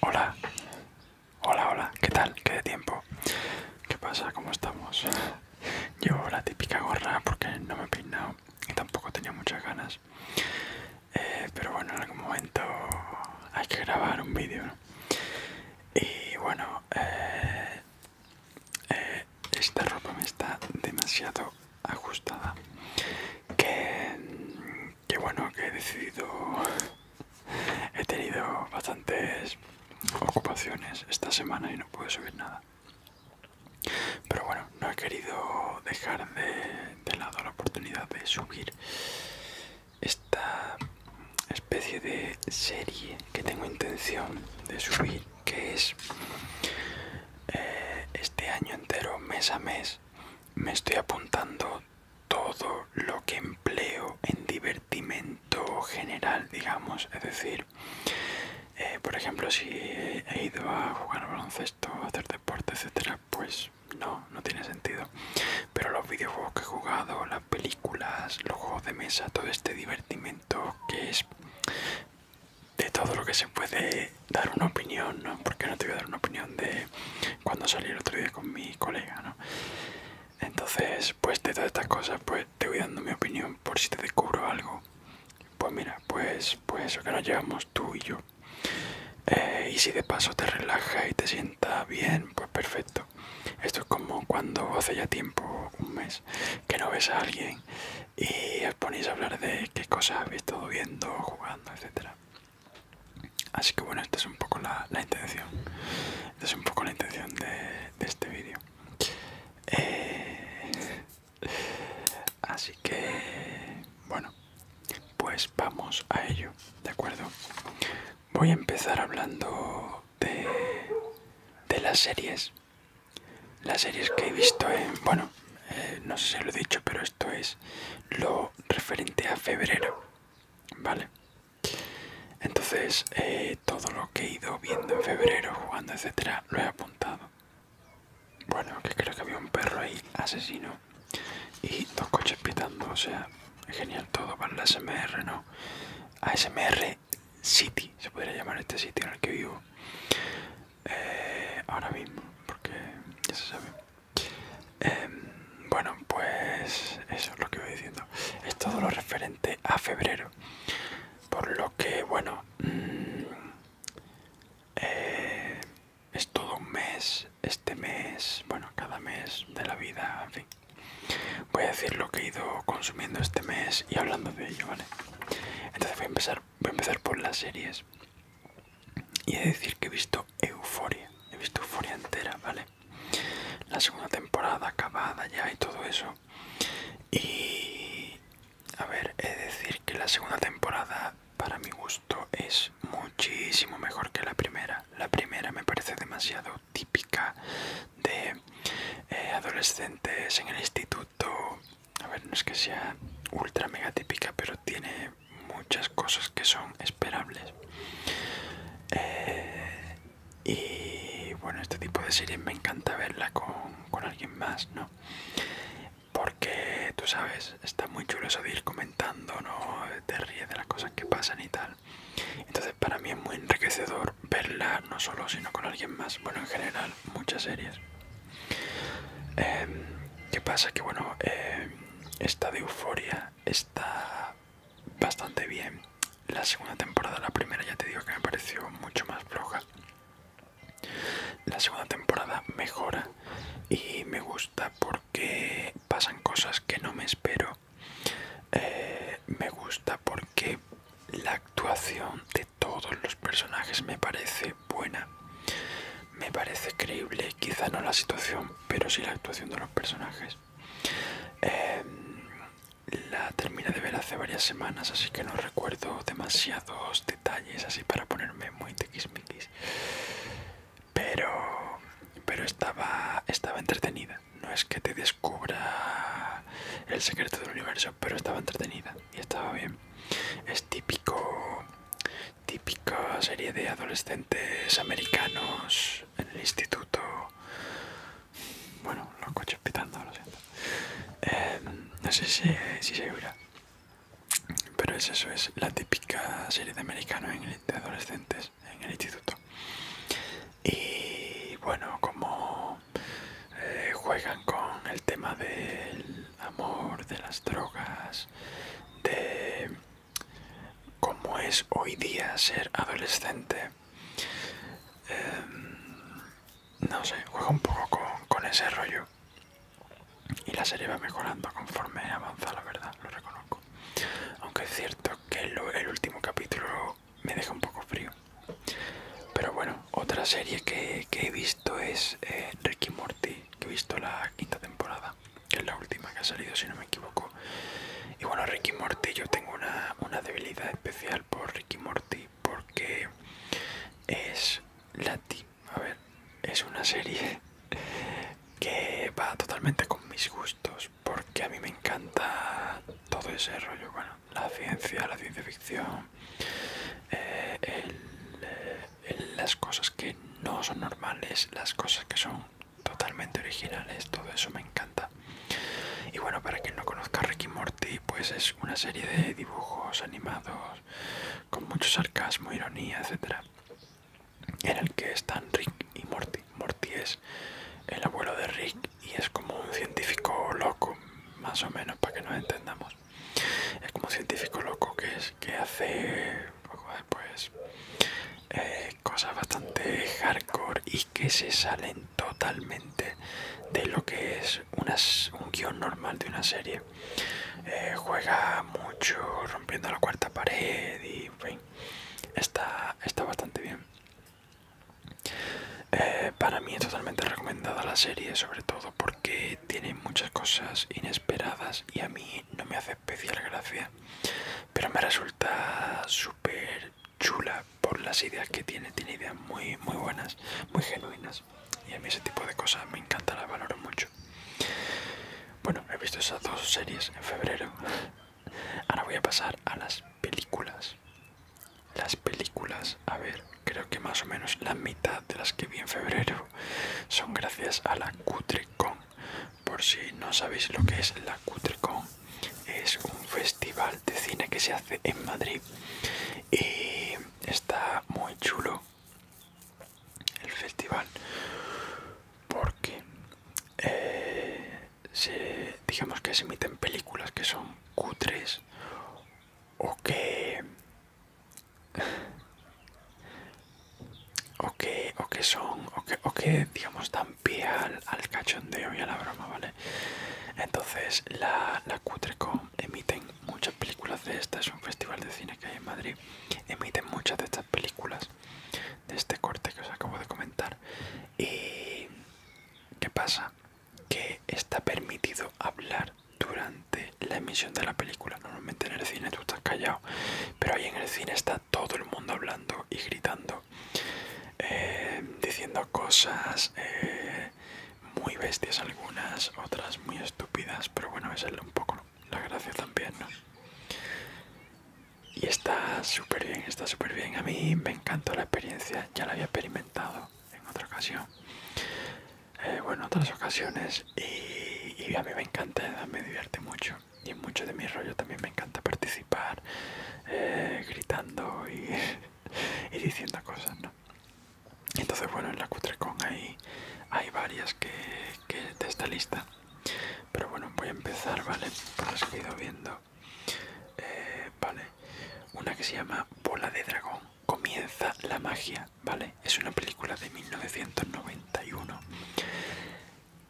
Hola, hola, hola, ¿qué tal? ¿Qué de tiempo? ¿Qué pasa? ¿Cómo estamos? Yo la típica gorra porque no me he peinado y tampoco tenía muchas ganas. Eh, pero bueno, en algún momento hay que grabar un vídeo. Y bueno, eh, eh, esta ropa me está demasiado ajustada. Que mm, que bueno, que he decidido... He tenido bastantes ocupaciones esta semana y no puedo subir nada. Pero bueno, no he querido dejar de, lado la oportunidad de subir esta especie de serie que tengo intención de subir, que es eh, este año entero, mes a mes, me estoy apuntando todo lo que empleo en divertimento general, digamos. Es decir, eh, por ejemplo, si he ido a jugar al baloncesto, hacer deporte, etcétera, pues no, no tiene sentido. Pero los videojuegos que he jugado, las películas, los juegos de mesa, todo este divertimento que es de todo lo que se puede dar una opinión, ¿no? Porque no te voy a dar una opinión de cuando salí el otro día con mi colega, ¿no? Entonces, pues de todas estas cosas, pues te voy dando mi opinión por si te descubro algo. Pues mira, pues, pues eso que nos llevamos tú y yo. Eh, y si de paso te relaja y te sienta bien, pues perfecto. Esto es como cuando hace ya tiempo, un mes, que no ves a alguien y os ponéis a hablar de qué cosas habéis estado viendo, jugando, etcétera. Así que bueno, esta es un poco la, intención. Esta es un poco la intención de, este vídeo. Eh, así que bueno, pues vamos a ello, ¿de acuerdo? Voy a empezar hablando de, las series. Las series que he visto en... Bueno, eh, no sé si lo he dicho, pero esto es lo referente a febrero, ¿vale? Entonces, eh, todo lo que he ido viendo en febrero, jugando, etcétera, lo he apuntado. Bueno, que creo que había un perro ahí asesino y dos coches pitando, o sea, genial todo para la SMR, ¿no? ASMR City, se podría llamar este sitio en el que vivo eh, ahora mismo, porque ya se sabe. Em, bueno, pues eso es lo que voy diciendo. Es todo lo referente a febrero. Por lo que, bueno, mm, eh, es todo un mes, este mes, bueno, cada mes de la vida, en fin. Voy a decir lo que he ido consumiendo este mes y hablando de ello, ¿vale? Entonces voy a empezar, voy a empezar por las series. Y he de decir que he visto Euforia, he visto Euforia entera, ¿vale? La segunda temporada acabada ya y todo eso. Y... A ver, he de decir que la segunda temporada, para mi gusto, es muchísimo mejor que la primera. La primera me parece demasiado típica de eh, adolescentes en el instituto. A ver, no es que sea ultra mega típica, pero tiene muchas cosas que son esperables eh, y bueno este tipo de series me encanta verla con, alguien más no porque tú sabes está muy chulo eso de ir comentando no te ríes de las cosas que pasan y tal entonces para mí es muy enriquecedor verla no solo sino con alguien más bueno en general muchas series em, qué pasa que bueno em, esta de Euforia está bastante bien. La segunda temporada, la primera ya te digo que me pareció mucho más floja. La segunda temporada mejora y me gusta porque pasan cosas que no me espero. Eh, me gusta porque la actuación de todos los personajes me parece buena me parece creíble, quizá no la situación, pero sí la actuación de los personajes. Em, la terminé de ver hace varias semanas, así que no recuerdo demasiados detalles así para ponerme muy tequismiquis. Pero, pero estaba, estaba entretenida. No es que te descubra el secreto del universo, pero estaba entretenida y estaba bien. Es típico típica serie de adolescentes americanos en el instituto. Bueno, los coches pitando, lo siento. Em, no sé si, se Pero es eso, es la típica serie de americanos en de adolescentes en el instituto. Y bueno, como eh, juegan con el tema del amor, de las drogas, de cómo es hoy día ser adolescente. Em, no sé, juega un poco con, ese rollo. Y la serie va mejorando conforme avanza, la verdad, lo reconozco. Aunque es cierto que el último capítulo me deja un poco frío. Pero bueno, otra serie que, he visto es eh, Ricky Morty, que he visto la quinta temporada que es la última que ha salido si no me equivoco y bueno Ricky Morty yo tengo una, debilidad especial por Ricky Morty porque es la a ver es una serie que va totalmente con mis gustos porque a mí me encanta todo ese rollo bueno la ciencia la ciencia ficción eh, el, eh, las cosas que no son normales, las cosas que son totalmente originales, todo eso me encanta. Y bueno, para quien no conozca Rick y Morty, pues es una serie de dibujos animados con mucho sarcasmo, ironía, etc en el que están Rick y Morty. Morty es el abuelo de Rick y es como un científico loco, más o menos, para que nos entendamos. Es como un científico loco que es que hace después eh, cosas bastante hardcore y que se salen totalmente de lo que es un guión normal de una serie eh, juega mucho rompiendo la cuarta pared y está, está bastante bien eh, para mí es totalmente recomendada la serie sobre todo porque tiene muchas cosas inesperadas y a mí no me hace especial gracia, pero me resulta súper chula por las ideas que tiene. Tiene ideas muy, muy buenas, muy genuinas. Y a mí ese tipo de cosas me encanta, las valoro mucho. Bueno, he visto esas dos series en febrero. Ahora voy a pasar a las películas. Las películas, a ver, creo que más o menos la mitad de las que vi en febrero son gracias a la CutreCon por si no sabéis lo que es la Cutrecon, es un festival de cine que se hace en Madrid y está muy chulo el festival porque eh, digamos que se emiten películas que son cutres o que o que, son, o que, digamos dan pie al, cachondeo y a la broma, ¿vale? Entonces la, la Cutrecom emiten muchas películas de estas, es un festival de cine que hay en Madrid, emiten muchas de estas películas de este corte que os acabo de comentar. ¿Y qué pasa? Que está permitido hablar durante la emisión de la película. Normalmente en el cine tú estás callado, pero ahí en el cine está todo el mundo hablando y gritando, eh, diciendo cosas eh, muy bestias algunas, otras muy estúpidas, pero bueno, es es un poco la gracia también, Y está súper bien, está súper bien. A mí me encantó la experiencia, ya la había experimentado en otra ocasión. Eh, bueno, otras ocasiones y a mí me encanta, me divierte mucho y en mucho de mi rollo también me encanta participar eh, gritando y, diciendo cosas, Entonces, bueno, en la Cutrecon hay, hay varias que, de esta lista. Pero bueno, voy a empezar, ¿vale? Por lo que he ido viendo. Eh, vale. Una que se llama Bola de Dragón. Comienza la magia, ¿vale? Es una película de 1991.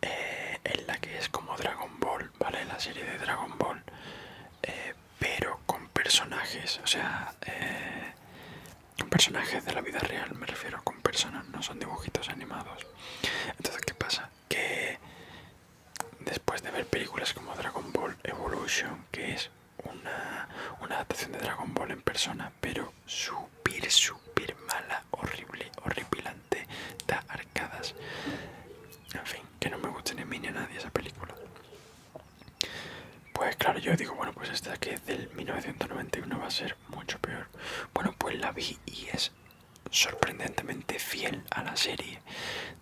Eh, en la que es como Dragon Ball, ¿vale? La serie de Dragon Ball, eh, pero con personajes, o sea, eh, con personajes de la vida real, me refiero, con personas, no son dibujitos animados. Entonces, ¿qué pasa? Que después de ver películas como Dragon Ball Evolution, que es una adaptación de Dragon Ball en persona, pero su Súper, super mala, horrible, horripilante, da arcadas. En fin, que no me guste ni mí ni a nadie esa película. Pues claro, yo digo, bueno, pues esta que es del 1991 va a ser mucho peor. Bueno, pues la vi y es sorprendentemente fiel a la serie.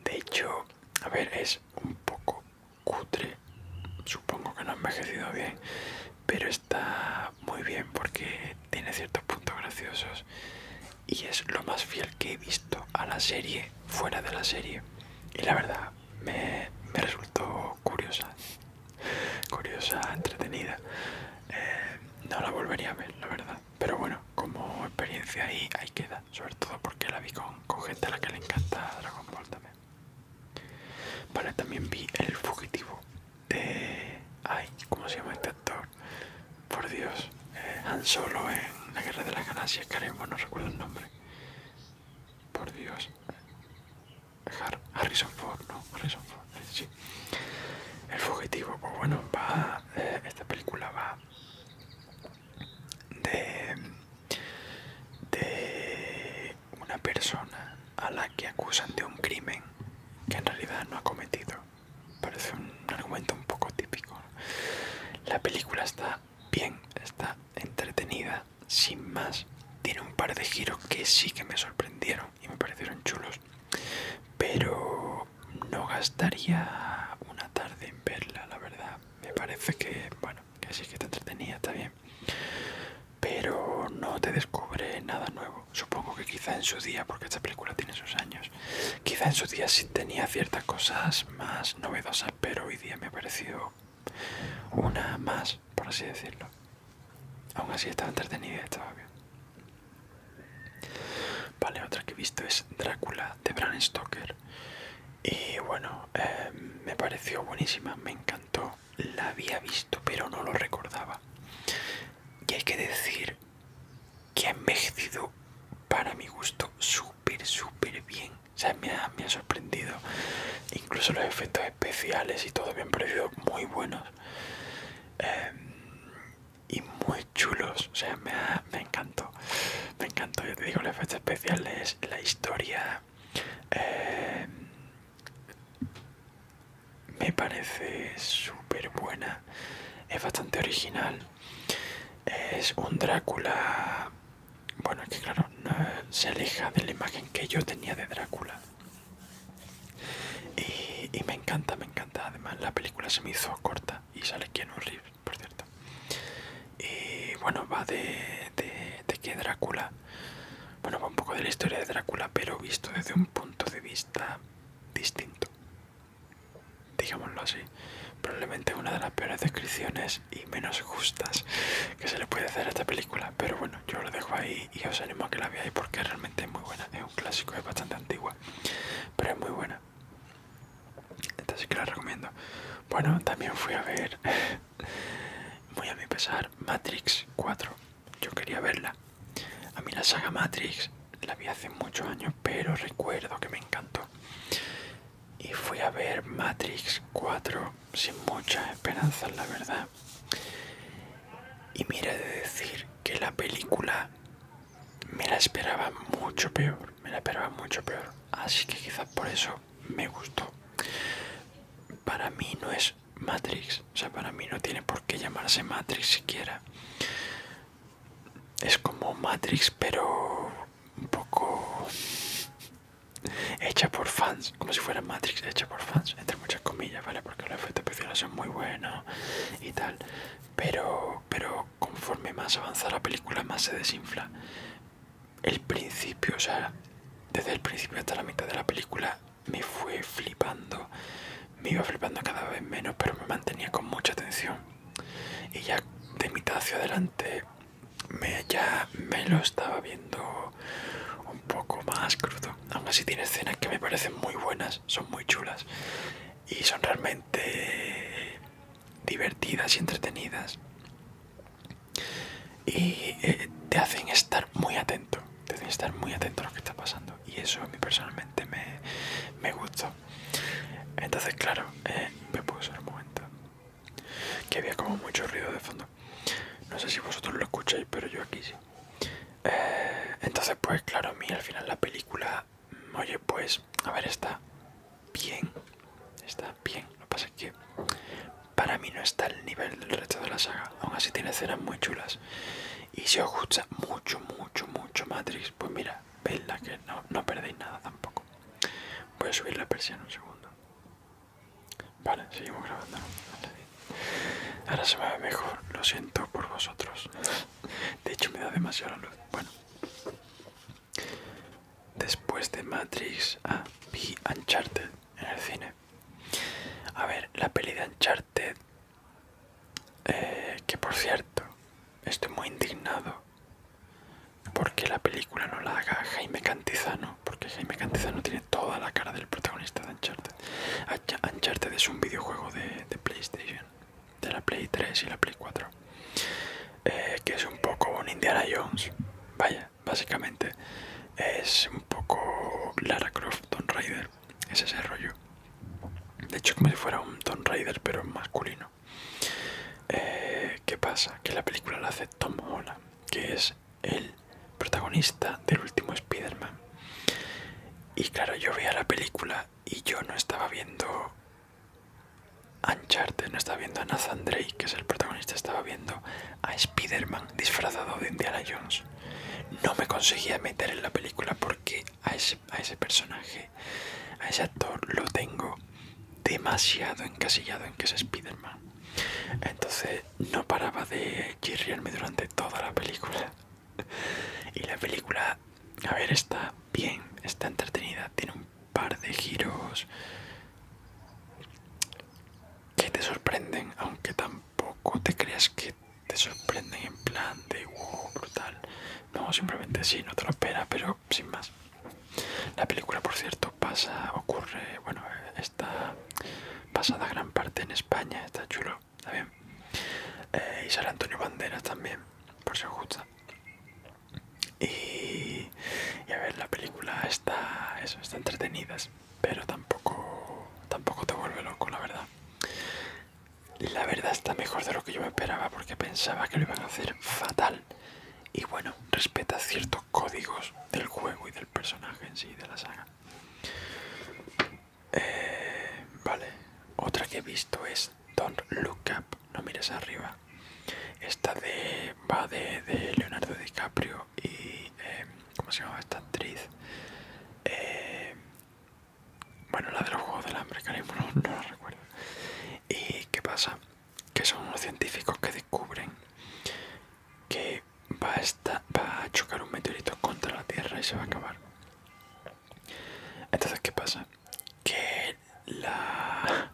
De hecho, a ver, es un poco cutre. Supongo que no ha envejecido bien pero está muy bien porque tiene ciertos puntos graciosos y es lo más fiel que he visto a la serie fuera de la serie y la verdad me, resultó curiosa curiosa entretenida eh, no la volvería a ver la verdad pero bueno como experiencia ahí que queda sobre todo porque la vi con, con gente a la que le encanta Dragon Ball también vale también vi el fugitivo de... Ay, ¿cómo se llama este actor? Por Dios, eh, Han Solo en La Guerra de las Galaxias, caremo, no recuerdo el nombre. Por Dios. Harrison Ford, ¿no? Harrison Ford, eh, sí. El fugitivo, pues bueno, va... Eh, esta película va de... de una persona a la que acusan de un crimen que en realidad no ha cometido. Parece un argumento un poco típico. La película está bien, está entretenida, sin más. Tiene un par de giros que sí que me sorprendieron y me parecieron chulos. Pero no gastaría una tarde en verla, la verdad. Me parece que, bueno, que sí que está entretenida, está bien pero no te descubre nada nuevo. Supongo que quizá en su día, porque esta película tiene sus años, quizá en su día sí tenía ciertas cosas más novedosas, pero hoy día me ha parecido una más, por así decirlo. Aún así estaba entretenida y estaba bien. Vale, otra que he visto es Drácula de Bram Stoker. Y bueno, eh, me pareció buenísima, me encantó la había visto pero no lo recordaba. Y hay que decir que ha envejecido para mi gusto súper, súper bien. O sea, me ha, sorprendido. Incluso los efectos especiales y todo me han parecido muy buenos. Em, y muy chulos. O sea, me, me encantó. Me encantó, yo te digo, los efectos especiales, la historia... Em, me parece súper buena es bastante original es un Drácula bueno es que claro se aleja de la imagen que yo tenía de Drácula y, me encanta me encanta además la película se me hizo corta y sale un rip, por cierto y bueno va de, de, de que Drácula bueno va un poco de la historia de Drácula pero visto desde un punto de vista está distinto. Digámoslo así. Probablemente una de las peores descripciones y menos justas que se le puede hacer a esta película. Pero bueno, yo lo dejo ahí y os animo a que la veáis porque realmente es muy buena. Es un clásico, es bastante antigua, pero es muy buena. Entonces que la recomiendo. Bueno, también fui a ver, muy a mi pesar, Matrix 4 yo quería verla. A mí la saga Matrix la vi hace muchos años, pero recuerdo que me encantó. Y fui a ver Matrix 4 sin muchas esperanzas, la verdad. Y mira de decir que la película me la esperaba mucho peor, me la esperaba mucho peor. Así que quizás por eso me gustó. Para mí no es Matrix. O sea, para mí no tiene por qué llamarse Matrix siquiera. Es como Matrix, pero un poco hecha por fans, como si fuera Matrix hecha por fans, entre muchas comillas, ¿vale? Porque los efectos especiales son muy buenos y tal. Pero, pero conforme más avanza la película, más se desinfla. El principio, o sea, desde el principio hasta la mitad de la película me fue flipando, me iba flipando cada vez menos, pero me mantenía con mucha atención Y ya de mitad hacia adelante me, ya me lo estaba viendo un poco más crudo. Aún así tiene escenas que me parecen muy buenas, son muy chulas y son realmente divertidas y entretenidas. Y eh, te hacen estar muy atento, tenéis que estar muy atento a lo que está pasando y eso a mí personalmente me, me gustó. Entonces, claro, eh, me puse un momento que había como mucho ruido de fondo. No sé si vosotros lo escucháis, pero yo aquí sí. Eh, entonces, pues claro, a mí al final la película, mm, oye, pues, a ver, está bien, está bien. Lo que pasa es que para mí no está al nivel del resto de la saga, aún así tiene escenas muy chulas y si os gusta mucho, mucho, mucho Matrix, pues mira, la que no, no perdéis nada tampoco. Voy a subir la persiana un segundo. Vale, seguimos grabando. Ahora se me ve mejor, lo siento por vosotros. De hecho, me da demasiada luz. Bueno, después de Matrix, a ah, vi Uncharted en el cine. A ver, la peli de Uncharted eh, que por cierto, estoy muy indignado porque la película no la haga Jaime Cantizano, porque Jaime Cantizano tiene toda la cara del protagonista de Uncharted. Uncharted es un videojuego de, PlayStation, de la Play 3 y la Play 4, eh, que es un poco un Indiana Jones, vaya, básicamente es un poco Lara Croft, Don Raider es ese rollo. De hecho, como si fuera un Tomb Raider, pero masculino. Eh, ¿Qué pasa? Que la película la hace Tom Holland, que es el protagonista del último Spider-Man. Y claro, yo veía la película y yo no estaba viendo Uncharted, no estaba viendo a Nathan Drake, que es el protagonista, estaba viendo a Spider-Man disfrazado de Indiana Jones no me conseguía meter en la película porque a ese, personaje, a ese actor lo tengo demasiado encasillado en que es Spider-Man. Entonces no paraba de chirriarme durante toda la película. Y la película, a ver, está bien, está entretenida, tiene un par de giros que te sorprenden, aunque tampoco poco te creas que te sorprenden en plan de wow, brutal. No, simplemente sí, no te lo esperas, pero sin más. La película, por cierto, pasa, ocurre, bueno, está pasada gran parte en España, está chulo, está bien. Eh, y sale Antonio Banderas también, por si os gusta. Y, a ver, la película está, eso, está entretenida, pero tampoco, tampoco te vuelve loco, la verdad la verdad está mejor de lo que yo me esperaba porque pensaba que lo iban a hacer fatal. Y bueno, respeta ciertos códigos del juego y del personaje en sí, de la saga. Eh, vale, otra que he visto es Don't Look Up, no mires arriba. Esta de, va de, Leonardo DiCaprio y... Eh, ¿Cómo se llama esta actriz? Eh, bueno, la de los juegos del hambre, cariño, no, la recuerdo. ¿Y qué pasa? Que son unos científicos que descubren que va a, va a chocar un meteorito contra la Tierra y se va a acabar. Entonces, ¿qué pasa? Que la,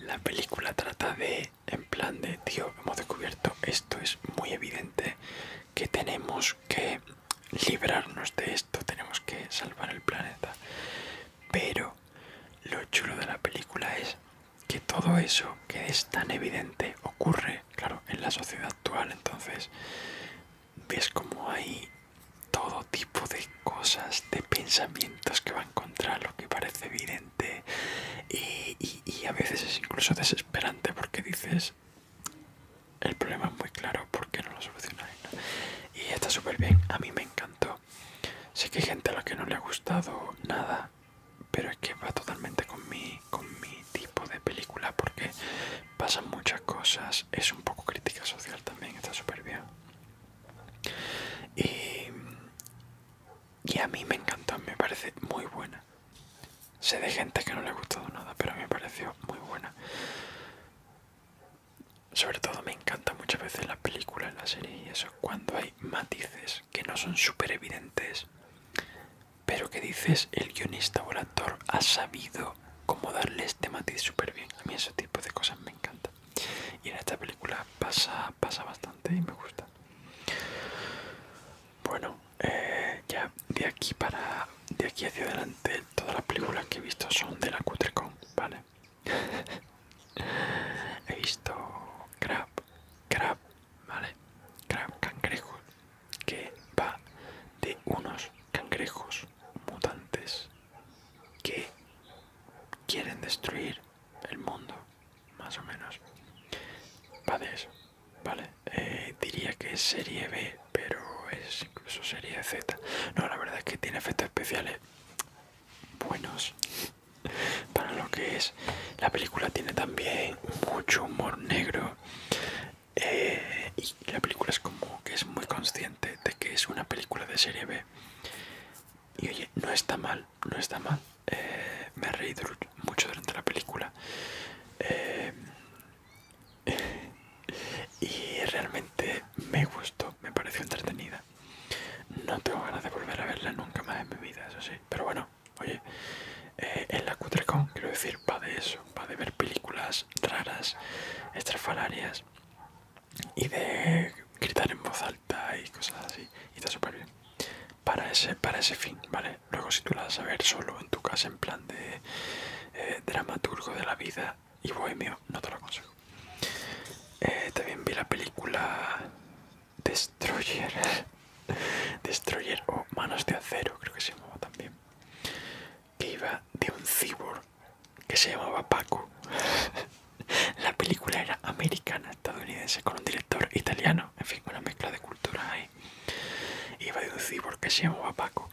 la película trata de, en plan de, tío, hemos descubierto, esto es muy evidente, que tenemos que librarnos de esto, tenemos que salvar el planeta. Pero lo chulo de la película es que todo eso que es tan evidente ocurre, claro, en la sociedad actual, entonces ves como hay todo tipo de cosas, de pensamientos que van contra lo que parece evidente y, y a veces es incluso desesperante porque dices, el problema es muy claro porque no lo solucionáis y está súper bien a mí me encantó sé que hay gente a la que no le ha gustado nada pero es que va totalmente con mi tipo de película porque pasan muchas cosas es un poco crítica social también está súper bien y a mí me encantó me parece muy buena Sé de gente que no le ha gustado nada, pero a mí me pareció muy buena. Sobre todo me encanta muchas veces las películas, las series y eso, cuando hay matices que no son súper evidentes, pero que dices el guionista o el actor ha sabido cómo darle este matiz súper bien. A mí ese tipo de cosas me encanta. Y en esta película pasa, pasa bastante y me gusta. Bueno, eh, ya de aquí para de aquí hacia adelante todas las películas que he visto son de la Cutrecon, ¿vale? he visto crab, crab, ¿vale? Crab Cangrejo, que va de unos cangrejos mutantes que quieren destruir el mundo, más o menos. Va de eso, ¿vale? Eh, diría que es serie B, pero es incluso serie Z. No, la verdad es que tiene efectos especiales buenos para lo que es. La película tiene también mucho humor negro. Eh, y la película es como que es muy consciente de que es una película de serie B. Y oye, no está mal, no está mal. Eh, me he reído mucho durante la película. y realmente me gustó, me pareció entretenida. No tengo ganas de volver a verla nunca más en mi vida, eso sí. Pero bueno, oye, eh, en la Cutrecon, quiero decir, va de eso, va de ver películas raras, estrafalarias y de gritar en voz alta y cosas así. Y está súper bien. Para ese, para ese fin, ¿vale? Luego si tú la vas a ver solo en tu casa en plan de eh, dramaturgo de la vida y bohemio, no te lo aconsejo. Eh, también vi la película Destroyer. Destroyer o Manos de Acero, creo que se llamaba también. Que iba de un cyborg que se llamaba Paco. la película era americana, estadounidense, con un director italiano. En fin, con una mezcla de culturas ahí. Iba de un cyborg que se llamaba Paco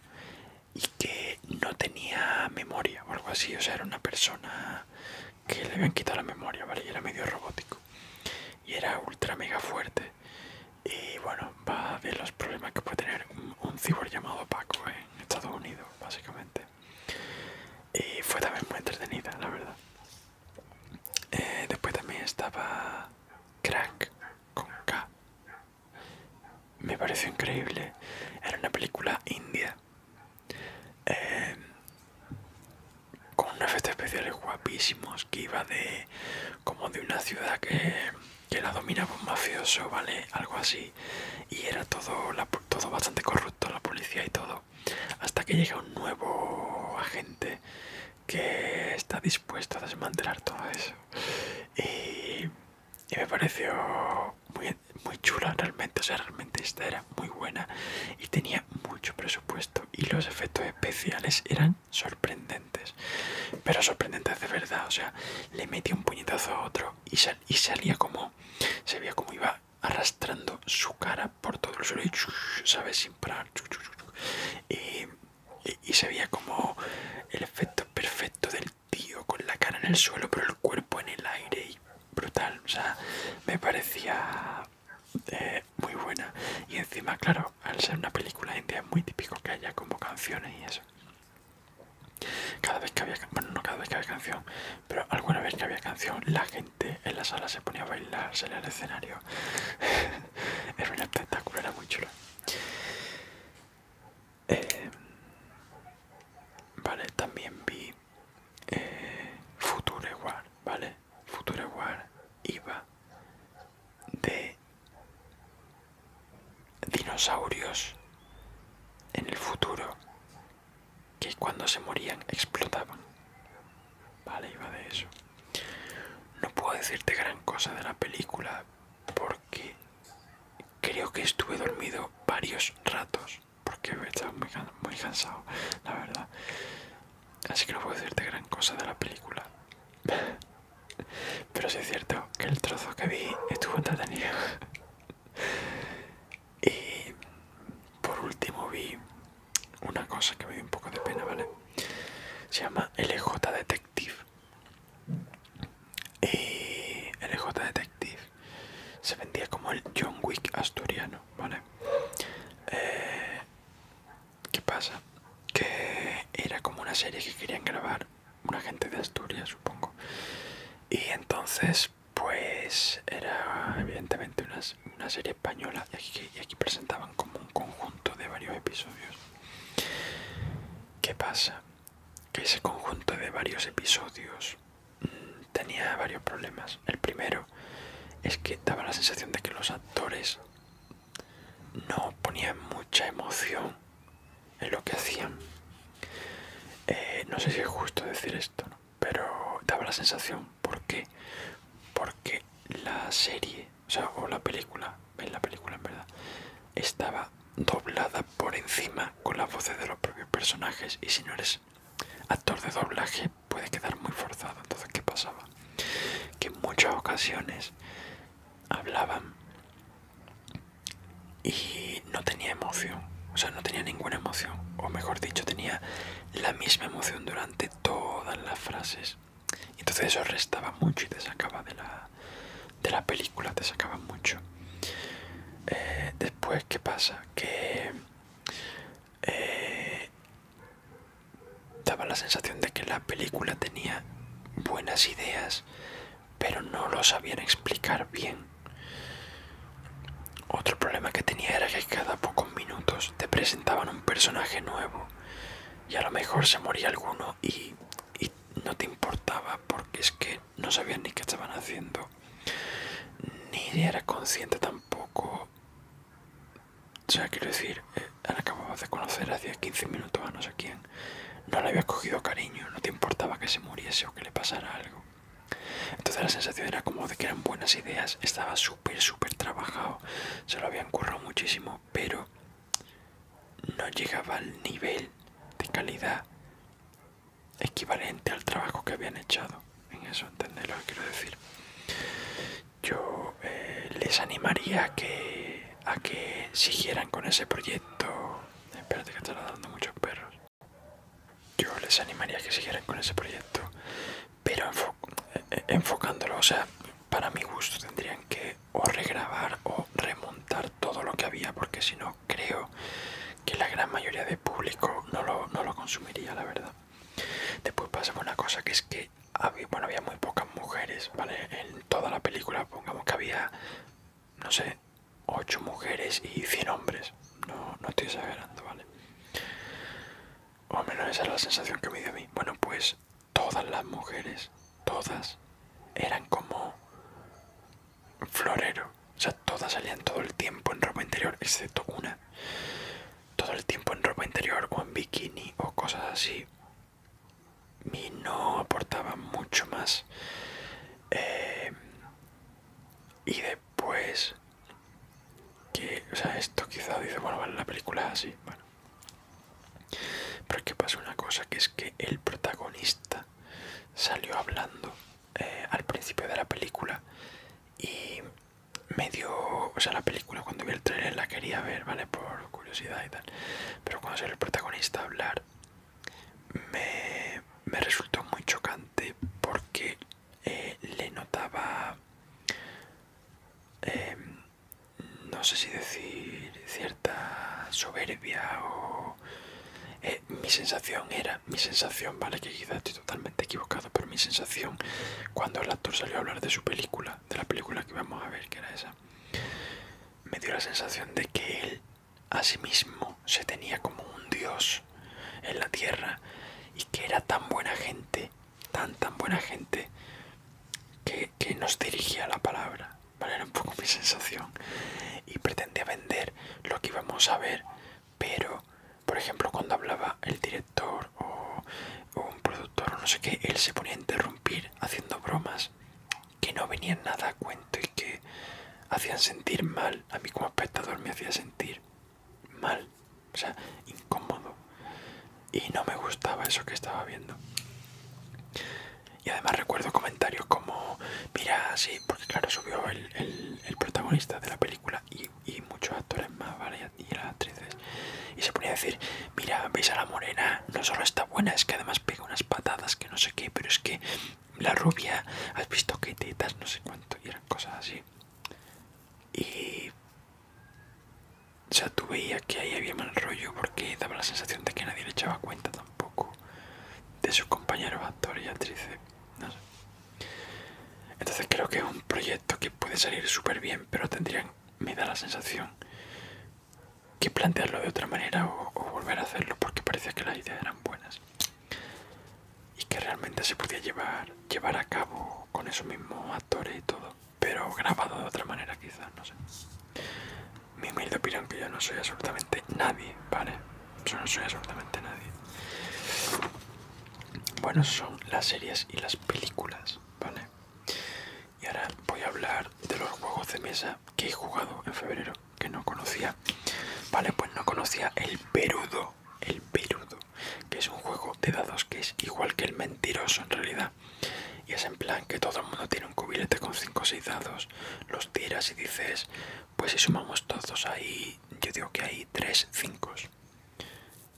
y que no tenía memoria o algo así, o sea, era una persona que le habían quitado la memoria, ¿vale? Y era medio robótico y era ultra mega fuerte. Y bueno, va a ver los problemas que puede tener un, cibor llamado Paco ¿eh? en Estados Unidos, básicamente. Y fue también muy entretenida, la verdad. Eh, después también estaba Crack con K, me pareció increíble. Era una película india. Eh, con unos efectos especiales guapísimos que iba de como de una ciudad que, que la dominaba un mafioso, ¿vale? Algo así. Y era todo bastante corrupto, la policía y todo. Hasta que llega un nuevo agente que está dispuesto a desmantelar todo eso. Y, me pareció muy, muy chula realmente, o sea, realmente esta era muy buena y tenía mucho presupuesto y los efectos especiales eran sorprendentes, pero sorprendentes de verdad, o sea, le metía un puñetazo a otro y, sal, y salía como, se veía como iba arrastrando su cara por todo el suelo y, ¿sabes? Sin parar. Y y, se veía como el efecto perfecto del tío con la cara en el suelo pero el cuerpo en el aire y brutal, o sea, me parecía eh, muy buena y encima, claro, al ser una película india es muy típico que haya como canciones y eso. Cada vez que había, bueno, no cada vez que había canción, pero alguna vez que había canción, la gente en la sala se ponía a bailar, en el escenario. era un espectáculo, era muy chulo. Eh, vale, también vi futuro eh, Future War, ¿vale? Future War iba de dinosaurios en el futuro que cuando se morían explotaban. Vale, iba de eso. No puedo decirte gran cosa de la película Porque que creo que estuve dormido varios ratos porque estaba muy, muy cansado, la verdad. Así que no puedo decirte gran cosa de la película. Pero sí es cierto que el trozo que vi estuvo entretenido. Y por último vi una cosa que me dio un poco de pena, ¿vale? Se llama LJ Detective. Y eh, el J Detective se vendía como el John Wick asturiano, ¿vale? Eh, ¿Qué pasa? Que era como una serie que querían grabar una gente de Asturias, supongo. Y entonces, pues era evidentemente una, serie española y aquí presentaban como un conjunto de varios episodios. ¿Qué pasa? Que ese conjunto de varios episodios mm, tenía varios problemas. El primero es que daba la sensación de que los actores no ponían mucha emoción en lo que hacían. Eh, no sé si es justo decir esto, pero daba la sensación. ¿Por qué? Porque la serie o sea, o la película, en la película en verdad, estaba doblada por encima con las voces de los propios personajes y si no eres actor de doblaje puede quedar muy forzado. Entonces, ¿qué pasaba? Que en muchas ocasiones hablaban y no tenía emoción, o sea, no tenía ninguna emoción, o mejor dicho, tenía la misma emoción durante todas las frases. Entonces eso restaba mucho y te sacaba de la, de la película, te sacaba mucho. Eh, después, ¿qué pasa? Que eh, daba la sensación de que la película tenía buenas ideas, pero no lo sabían explicar bien. Otro problema que tenía era que cada pocos minutos te presentaban un personaje nuevo y a lo mejor se moría alguno y no te importaba porque es que no sabía ni qué estaban haciendo, ni era consciente tampoco. O sea, quiero decir, la eh, de conocer hacía 15 minutos a no sé quién, no le había cogido cariño, no te importaba que se muriese o que le pasara algo. Entonces la sensación era como de que eran buenas ideas, estaba súper, súper trabajado, se lo habían currado muchísimo, pero no llegaba al nivel de calidad equivalente al trabajo que habían echado en eso entender lo que quiero decir yo eh, les animaría a que a que siguieran con ese proyecto espérate que están dando muchos perros yo les animaría a que siguieran con ese proyecto pero eh, eh, enfocándolo o sea para mi gusto tendrían que o regrabar o remontar todo lo que había porque si no creo que la gran mayoría de público no lo, consumiría la verdad después pasó una cosa que es que había, bueno había muy pocas mujeres vale en toda la película pongamos que había no sé 8 mujeres y 100 hombres no, no estoy exagerando vale o menos esa es la sensación que me dio a mí bueno pues todas las mujeres, todas, eran como florero. O sea, todas salían todo el tiempo en ropa interior, excepto una. Todo el tiempo en ropa interior o en bikini o cosas así. Y no aportaba mucho más. Eh, y después... Que, o sea, esto quizá dice, bueno, la película así, bueno. Pero que pasa una cosa, que es que el protagonista salió hablando eh, al principio de la película y me dio, o sea, la película cuando vi el trailer la quería ver, ¿vale? Por curiosidad y tal. Pero cuando salió el protagonista hablar, me, resultó muy chocante porque eh, le notaba... Em, no sé si decir cierta soberbia o eh, mi sensación era mi sensación vale que quizás estoy totalmente equivocado pero mi sensación cuando el actor salió a hablar de su película de la película que vamos a ver que era esa me dio la sensación de que él a sí mismo se tenía como un dios en la tierra y que era tan buena gente tan tan buena gente que, que nos dirigía la palabra era un poco mi sensación. Y pretendía vender lo que íbamos a ver, pero, por ejemplo, cuando hablaba el director o, o un productor o no sé qué, él se ponía a interrumpir haciendo bromas que no venían nada a cuento y que hacían sentir mal. A mí como espectador me hacía sentir mal, o sea, incómodo. Y no me gustaba eso que estaba viendo. Y además recuerdo comentarios como, mira, sí, porque claro, subió el, protagonista de la película y, muchos actores más, ¿vale? Y las actrices. Y se ponía a decir, mira, veis a la morena, no solo está buena, es que además pega unas patadas que no sé qué, pero es que la rubia, has visto que tetas, no sé cuánto, y eran cosas así. Y... O sea, tú veías que ahí había mal rollo porque daba la sensación de que nadie le echaba cuenta poco de sus compañeros actores y actrices. No sé. Entonces creo que es un proyecto que puede salir súper bien, pero tendrían, me da la sensación, que plantearlo de otra manera o, volver a hacerlo porque parecía que las ideas eran buenas y que realmente se podía llevar, llevar a cabo con esos mismos actores y todo, pero grabado de otra manera quizás, no sé mi humilde opinión que yo no soy absolutamente nadie, ¿vale? Yo no soy absolutamente nadie. Bueno, son las series y las películas, ¿vale? Y ahora voy a hablar de los juegos de mesa que he jugado en febrero, que no conocía. Vale, pues no conocía el Perudo, el Perudo, que es un juego de dados que es igual que el mentiroso en realidad. Y es en plan que todo el mundo tiene un cubilete con 5 o 6 dados, los tiras y dices, pues si sumamos todos ahí, yo digo que hay 3 5.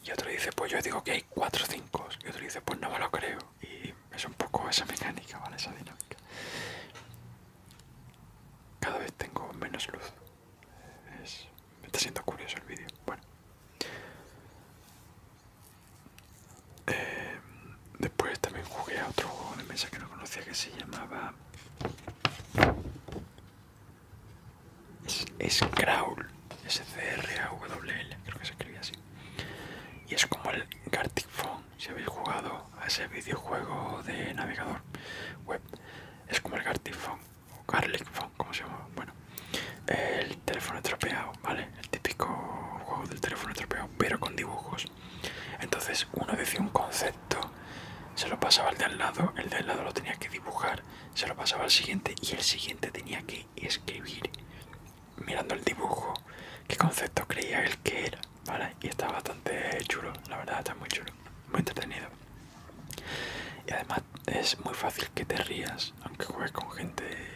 Y otro dice, pues yo digo que hay 4 5. Y otro dice, pues no me lo creo. Y es un poco esa mecánica, ¿vale? Esa dinámica. Cada vez tengo menos luz. Me está siendo curioso el vídeo. Bueno. Eh, después también jugué a otro juego de mesa que no conocía que se llamaba Scrawl, S-C-R-A-W-L, creo que se escribía así. Y es como el Gartic Phone, si habéis jugado a ese videojuego de navegador web. Es como el Gartic Phone, o Garlic Phone, como se llama. Bueno, el teléfono estropeado, ¿vale? El típico juego del teléfono estropeado, pero con dibujos. Entonces uno decía un concepto, se lo pasaba al de al lado, el de al lado lo tenía que dibujar, se lo pasaba al siguiente y el siguiente tenía que escribir mirando el dibujo qué concepto creía él que era, ¿vale? Y está bastante chulo, la verdad está muy chulo, muy entretenido. Y además es muy fácil que te rías, aunque juegues con gente...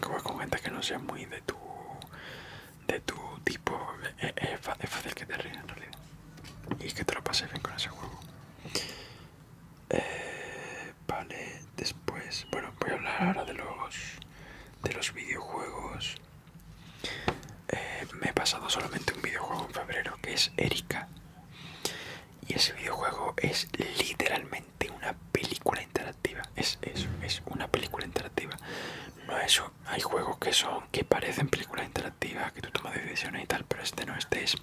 Como con gente que no sea muy de tu, de tu tipo, eh, eh, es, fácil que te rías en realidad. Y que te lo pases bien con ese juego. Eh, vale, después, bueno, voy a hablar ahora de los, de los videojuegos. me he pasado solamente un videojuego en febrero que es Erika. Y ese videojuego es literalmente de una película interactiva. Es eso, es una película interactiva. No eso. Hay juegos que son, que parecen películas interactivas, que tú tomas decisiones y tal, pero este no, este es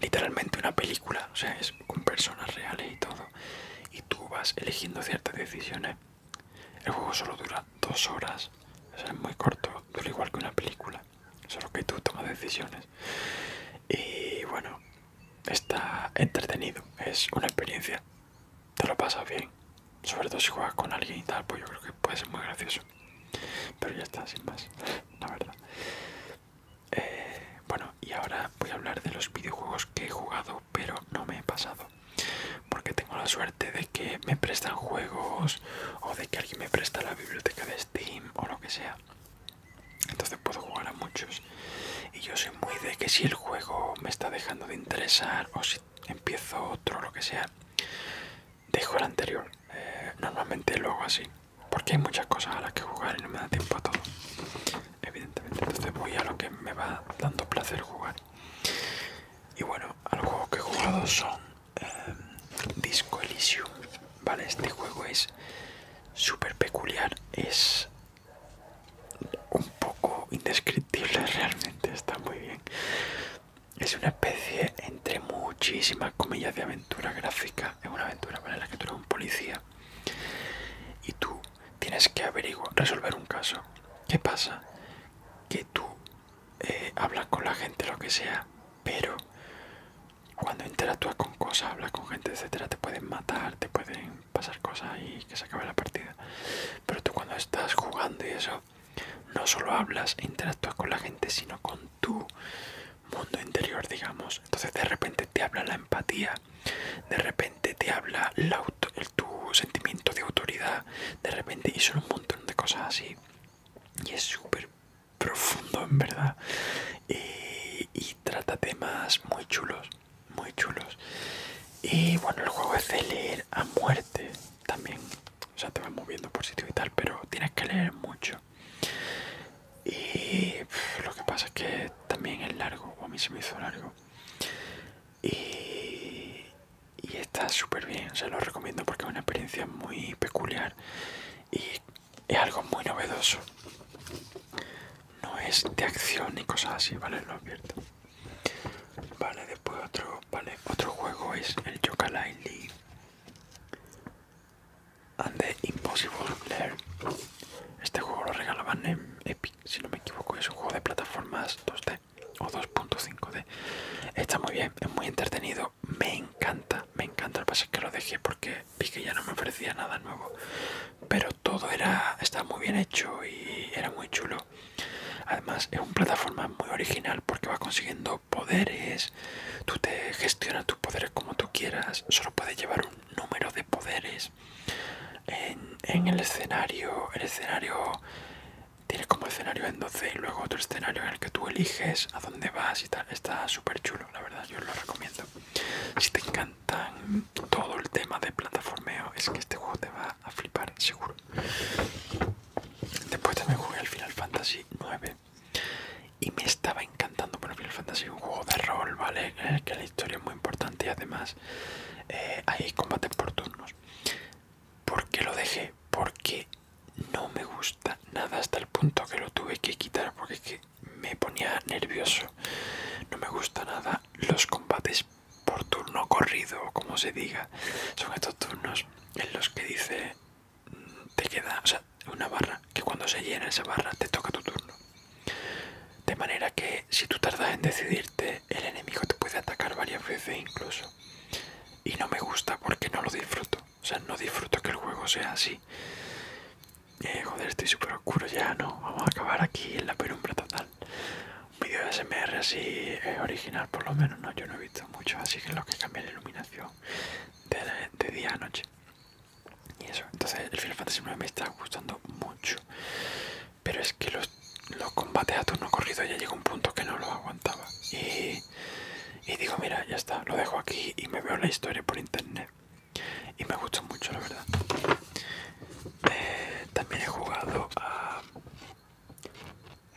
literalmente una película. O sea, es con personas reales y todo. Y tú vas eligiendo ciertas decisiones. El juego solo dura dos horas. es muy corto, dura igual que una película. Solo que tú tomas decisiones. Y bueno, está entretenido, es una experiencia, te lo pasas bien, sobre todo si juegas con alguien y tal, pues yo creo que puede ser muy gracioso, pero ya está, sin más, la verdad. Eh, bueno, y ahora voy a hablar de los videojuegos que he jugado, pero no me he pasado, porque tengo la suerte de que me prestan juegos o de que alguien me presta la biblioteca de Steam o lo que sea entonces puedo jugar a muchos y yo soy muy de que si el juego me está dejando de interesar o si empiezo otro lo que sea dejo el anterior eh, normalmente lo hago así porque hay muchas cosas a las que jugar y no me da tiempo a todo evidentemente entonces voy a lo que me va dando placer jugar y bueno a los juegos que he jugado son eh, Disco Elysium vale este juego es súper peculiar es un poco indescriptible realmente, está muy bien. Es una especie entre muchísimas comillas de aventura gráfica. Es una aventura para la que tú eres un policía y tú tienes que averiguar, resolver un caso. ¿Qué pasa? Que tú eh, hablas con la gente, lo que sea, pero cuando interactúas con cosas, hablas con gente, etcétera, te pueden matar, te pueden pasar cosas y que se acabe la partida. Pero tú cuando estás jugando y eso, no solo hablas e interactúas con la gente, sino con tu mundo interior, digamos. Entonces de repente te habla la empatía, de repente te habla la tu sentimiento de autoridad, de repente y son un montón de cosas así. Y es súper profundo en verdad. y trata temas muy chulos muy chulos. Y bueno, el juego es de leer a muerte también. O sea, te vas moviendo por sitio y tal, pero tienes que leer mucho. Y lo que pasa es que también es largo, o a mí se me hizo largo. Y, y está súper bien, se lo recomiendo porque es una experiencia muy peculiar y es algo muy novedoso no es de acción ni cosas así, ¿vale? Lo abierto Vale, después otro, otro juego es el Yoka League and the Impossible Lair. Este juego lo regalaban en Epic, si no me equivoco, es un juego de plataformas 2D o 2.5D. Está muy bien, es muy entretenido, me encanta, me encanta. el que pasa es que lo dejé porque vi que ya no me ofrecía nada nuevo pero todo era estaba muy bien hecho y era muy chulo además es una plataforma muy original porque vas consiguiendo poderes tú te gestionas tus poderes como tú quieras solo puedes llevar un número de poderes en, el escenario el escenario tiene como escenario en 12 y luego otro escenario en el que tú eliges a dónde vas y tal está súper chulo la verdad yo lo recomiendo si te encantan todo el tema de plataformeo es que este juego te va a flipar, seguro. Después también jugué al Final Fantasy 9 y me estaba encantando. el Final Fantasy un juego de rol, ¿vale? Eh, que la historia es muy importante y además eh, hay combates por turnos. ¿Por qué lo dejé? Porque no me gusta nada hasta el punto que lo tuve que quitar porque es que me ponía nervioso. No me gusta nada los combates por turno corrido, como se diga. Son estos turnos en los que dice mm, te queda, una barra que cuando se llena esa barra te toca tu turno. De manera que si tú tardas en decidirte, el enemigo te puede atacar varias veces incluso. Y no me gusta porque no lo disfruto. O sea, no disfruto que el juego sea así. Eh, joder, estoy súper oscuro ya, ¿no? Vamos a acabar aquí en la penumbra total. Un vídeo de SMR así eh, original, por lo menos, ¿no? Yo no he visto mucho, así que lo que cambia la iluminación de, día a noche. Y eso, entonces el Final Fantasy me está gustando mucho. Pero es que los, combates a turno corrido ya llegó un punto que no lo aguantaba. Y, y digo, mira, ya está, lo dejo aquí y me veo la historia por internet y me gustó mucho la verdad eh, también he jugado a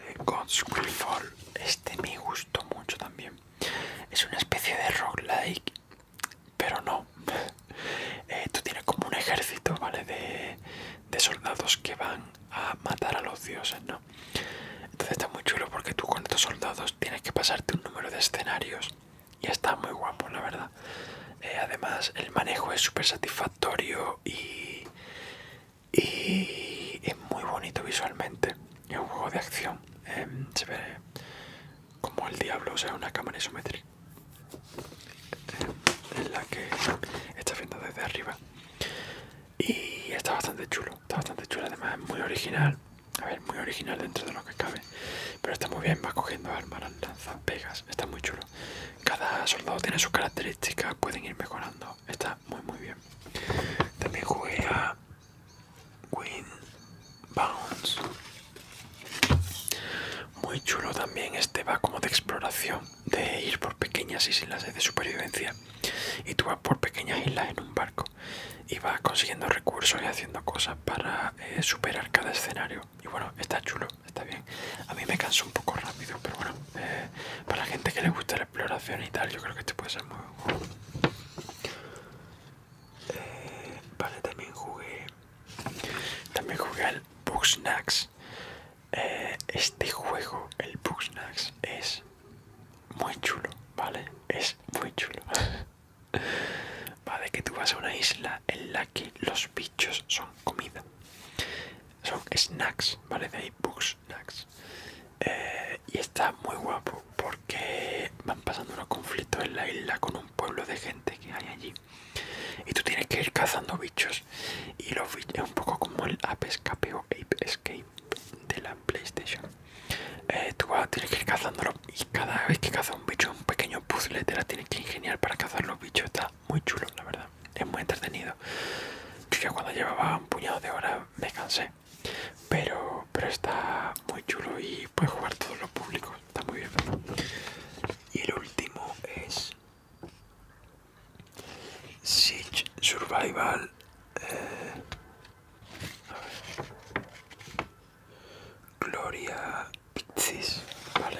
eh, God's este me gustó mucho también es una especie de roguelike pero no eh, tú tienes como un ejército vale de, de soldados que van a matar a los dioses no entonces está muy chulo porque tú con estos soldados tienes que pasarte un número de escenarios y está muy guapo la verdad eh, además el manejo es súper satisfactorio y, es muy bonito visualmente es un juego de acción em, se ve como el diablo o sea una cámara isométrica eh, en la que está viendo desde arriba y está bastante chulo está bastante chulo además es muy original a ver muy original dentro de lo que cabe pero está muy bien, va cogiendo armas, lanzas, pegas, está muy chulo. Cada soldado tiene sus características, pueden ir mejorando, está muy muy bien. También jugué a Win Bounce. Muy chulo también, este va como de exploración, de ir por pequeñas islas de supervivencia. Y tú vas por pequeñas islas en un barco y vas consiguiendo recursos y haciendo cosas para eh, superar cada escenario y bueno está chulo está bien a mí me canso un poco rápido pero bueno eh, para la gente que le gusta la exploración y tal yo creo que este puede ser muy bueno eh, vale también jugué también jugué al Bugsnax Snacks eh, este juego el Snacks es muy chulo vale es muy chulo Vale, que tú vas a una isla en la que los bichos son comida. Son snacks, ¿vale? De ahí snacks. Eh, y está muy guapo porque van pasando unos conflictos en la isla con un pueblo de gente que hay allí. Y tú tienes que ir cazando bichos. Y los bichos es un poco como el Ape Escape o Ape Escape de la PlayStation. Eh, tú vas que ir cazándolos cada vez que caza un bicho, un pequeño puzzle te la tienes que ingeniar para cazar los bichos. Está muy chulo, la verdad. Es muy entretenido. Yo ya cuando llevaba un puñado de horas me cansé. Pero, pero está muy chulo y puedes jugar todo los público Está muy bien. Y el último es... Siege Survival... Eh, Gloria Victis, ¿vale?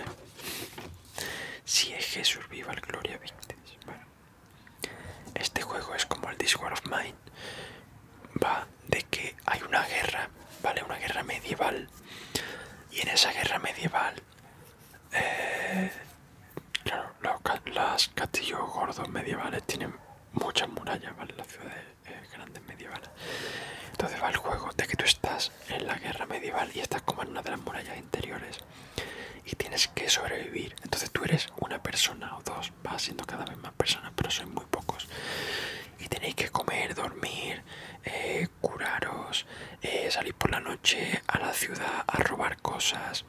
Si es Jesús viva el Gloria Victis, bueno. Este juego es como el Discord of Mine, va de que hay una guerra, ¿vale? Una guerra medieval. Y en esa guerra medieval, eh, claro, los, las castillos gordos medievales tienen muchas murallas, ¿vale? Las ciudades eh, grandes medievales. Entonces va el juego de que tú estás en la guerra medieval y estás como en una de las murallas interiores y tienes que sobrevivir. Entonces tú eres una persona o dos, vas siendo cada vez más personas, pero sois muy pocos. Y tenéis que comer, dormir, eh, curaros, eh, salir por la noche a la ciudad a robar cosas.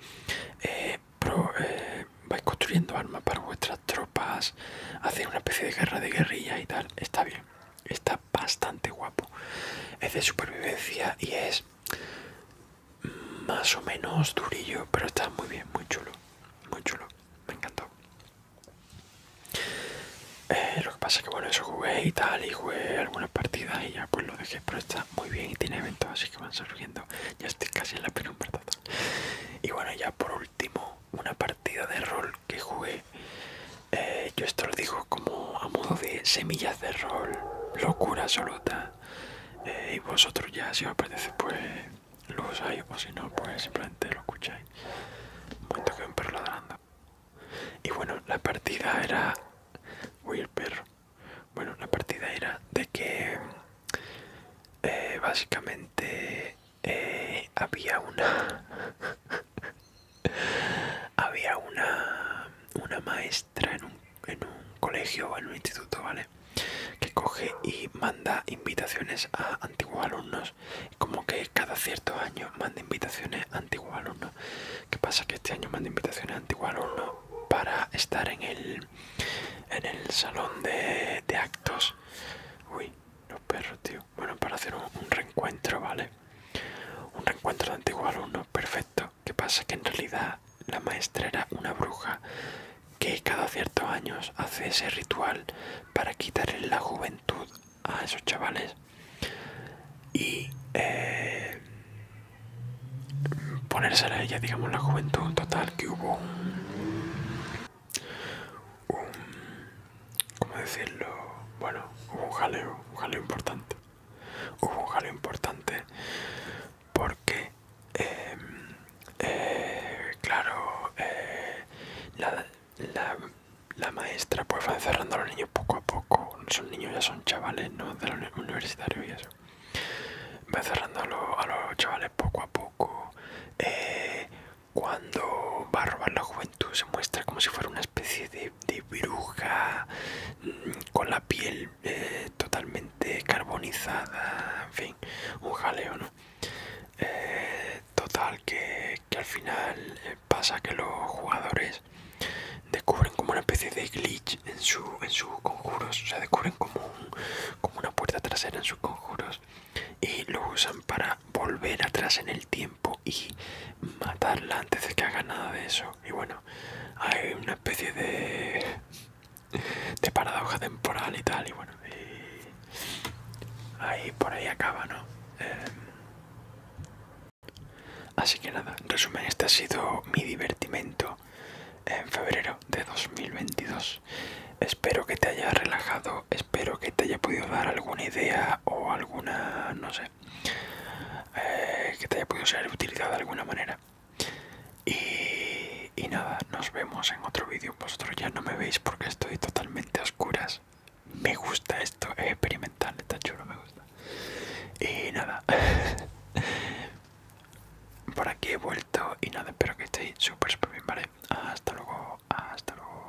vais construyendo armas para vuestras tropas, hacer una especie de guerra de guerrilla y tal. Está bien. Está bastante guapo. Es de supervivencia y es más o menos durillo, pero está muy bien, muy chulo. Muy chulo. Me encantó. Eh, lo que pasa es que bueno, eso jugué y tal, y jugué algunas partidas y ya pues lo dejé, pero está muy bien y tiene eventos, así que van surgiendo. Ya estoy casi en la penumbra Y bueno, ya por último, una partida de rol que jugué. Eh, yo esto lo digo como a modo de semillas de rol, locura absoluta. Eh, y vosotros ya, si os apetece, pues lo usáis, o si no, pues simplemente lo escucháis. Un momento que un perro ladrando. Y bueno, la partida era. Uy, perro. Bueno, la partida era de que. Eh, básicamente. había una. había una, maestra en un, colegio o en un instituto, ¿vale? Que coge y manda invitaciones a antiguos alumnos. Como que cada cierto año manda invitaciones a antiguos alumnos. ¿Qué pasa? Que este año manda invitaciones a antiguos alumnos para estar en el, en el salón de, de actos. Uy, los perros, tío. Bueno, para hacer un, reencuentro, ¿vale? Un reencuentro de antiguo alumno, perfecto. ¿Qué pasa? Que en realidad la maestra era una bruja que cada ciertos años hace ese ritual para quitarle la juventud a esos chavales y eh, ponérsela a ella, digamos, la juventud total que hubo un, um, ¿cómo decirlo? Bueno, hubo un jaleo, un jaleo importante. Hubo un jaleo importante porque, em, eh, claro, eh, la, maestra pues va encerrando a los niños poco a poco. Son niños, ya son chavales, ¿no? De los universitarios y eso. Va encerrando a, los chavales poco a poco. Eh, cuando va a robar la juventud se muestra como si fuera una especie de, bruja mm, con la piel eh, totalmente carbonizada, en fin, un jaleo, ¿no? Eh, total, que, que al final eh, pasa que los jugadores descubren como una especie de glitch en, su, en sus conjuros, o sea, descubren como, como una puerta trasera en sus conjuros y lo usan para volver atrás en el tiempo y matarla antes de que haga nada de eso. Y bueno, hay una especie de, de paradoja temporal y tal. Y bueno, ahí por ahí acaba, ¿no? Em, así que nada, resumen, este ha sido mi divertimento en febrero de 2022. Espero que te haya relajado, espero que te haya podido dar alguna idea o alguna, no sé, eh, que te haya podido ser utilizada de alguna manera. Y, y nada, nos vemos en otro vídeo. Vosotros ya no me veis porque estoy totalmente a oscuras. Me gusta esto, es experimental, está chulo, me gusta. Y nada, por aquí he vuelto y nada, espero que estéis súper, súper bien, ¿vale? Hasta luego, hasta luego.